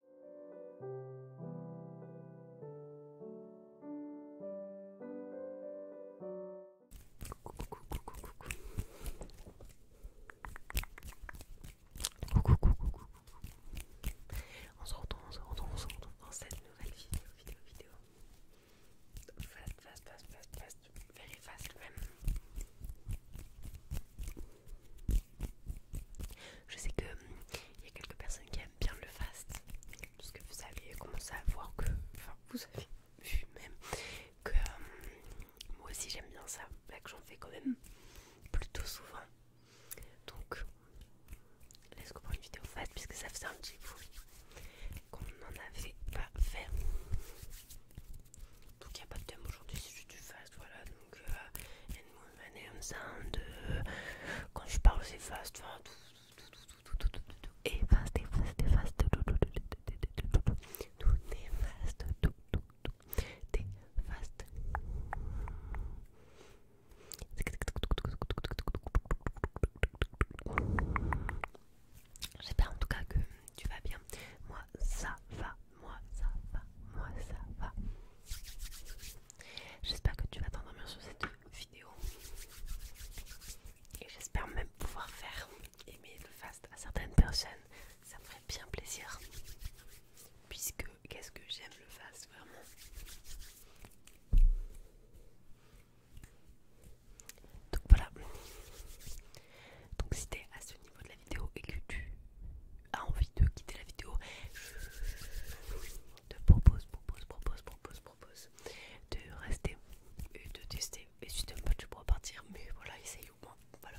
On se retrouve, on se retrouve, on se retrouve dans cette nouvelle vidéo, vidéo, vidéo. Fast, fast, fast, fast, fast, very fast même. Je sais que hum, il y a quelques personnes qui aiment bien le fast, parce que vous avez commencé à voir que, enfin, vous avez vu même que hum, moi aussi j'aime bien ça, que j'en fais quand même plutôt souvent. Donc, laisse moi pour une vidéo fast puisque ça faisait un petit bout qu'on n'en avait pas fait. Donc il n'y a pas de thème aujourd'hui, c'est juste du fast, voilà donc quand je parle c'est fast tout fast fast tout fast tout fast J'espère en tout cas que tu vas bien. Moi, ça va moi ça va, moi ça va. J'espère que tu vas t'endormir sur cette vidéo. Et j'espère même pouvoir faire aimer le fast à certaines personnes. Ça me ferait bien plaisir. Puisque qu'est-ce que j'aime le fast vraiment. Donc voilà. Donc si t'es à ce niveau de et que tu as envie de quitter la vidéo, je te propose, propose, propose, propose, propose de rester et de tester. Et si tu n'aimes pas, tu pourras partir, mais voilà, essaye au moins. Voilà.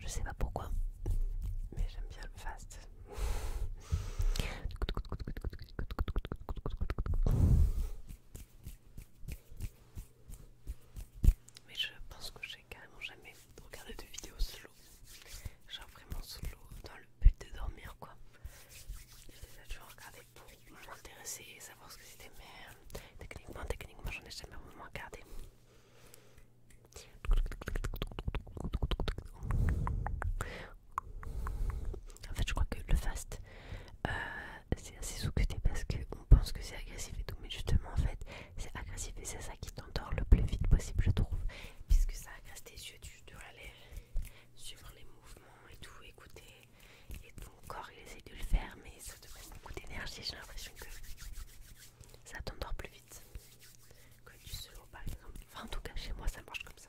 Je sais pas pourquoi, mais j'aime bien le fast. Mais je pense que j'ai carrément jamais regardé de vidéos solo. Genre vraiment solo dans le but de dormir quoi. J'ai déjà toujours regardé pour m'intéresser et savoir ce que c'était mais euh, techniquement techniquement j'en ai jamais vraiment regardé. En fait, je crois que le fast, euh, c'est assez sous-cuté parce qu'on pense que c'est agressif et tout, mais justement, en fait, c'est agressif et c'est ça qui t'endort le plus vite possible, je trouve, puisque ça agresse tes yeux, tu dois aller suivre les mouvements et tout, écouter, et ton corps il essaie de le faire, mais ça te beaucoup d'énergie, j'ai l'impression que ça t'endort plus vite que du solo par exemple. Enfin en tout cas chez moi ça marche comme ça.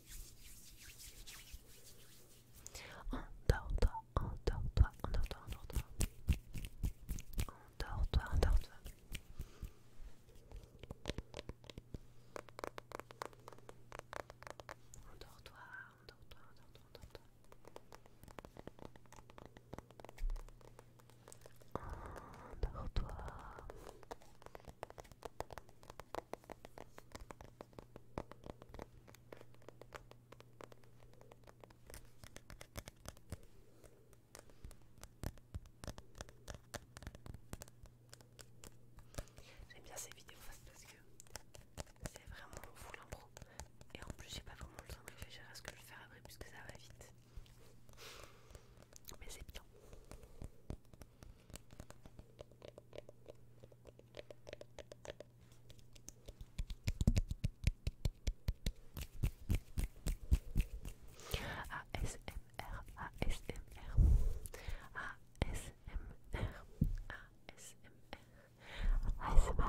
Endors-toi, endors-toi, endors-toi, endors-toi. Endors-toi, toi Endors-toi, endors-toi, endors-toi, toi J'aime bien ces vidéos parce que c'est vraiment fou l'impro et en plus j'ai pas vraiment le temps de réfléchir à ce que je vais faire après puisque ça va vite. Mais c'est bien. ASMR, ASMR, ASMR, ASMR.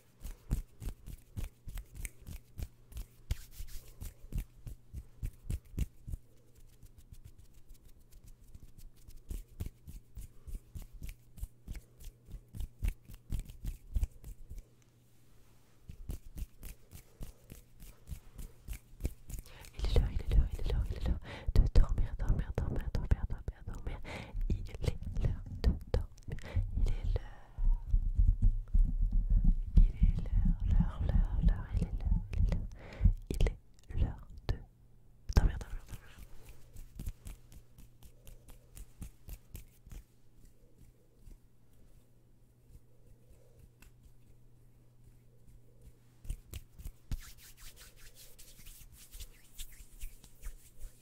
Il est l'heure, il est l'heure, il est l'heure, il est l'heure de dormir, dormir, dormir, dormir, dormir. Il est l'heure de dormir. Il est l'heure. l'heure, Il est l'heure, de dormir,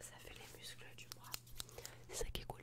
Ça fait les muscles du bras, c'est ça qui est cool.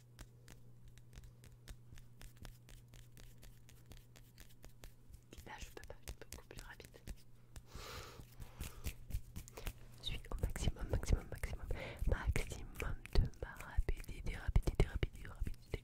Là, je peux pas, beaucoup plus rapide. Je suis au maximum, maximum, maximum, maximum de ma rapidité, rapidité, rapidité, rapidité.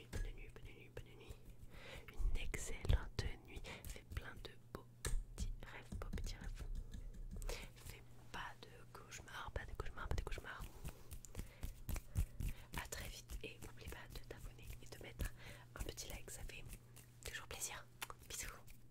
bonne nuit, bonne nuit, bonne nuit, Une excellente nuit. Fais plein de beaux petits rêves, beaux petits rêves. Fais pas de cauchemars, pas de cauchemars, pas de cauchemars. A très vite et n'oublie pas de t'abonner et de mettre un petit like, ça fait toujours plaisir. Bisous.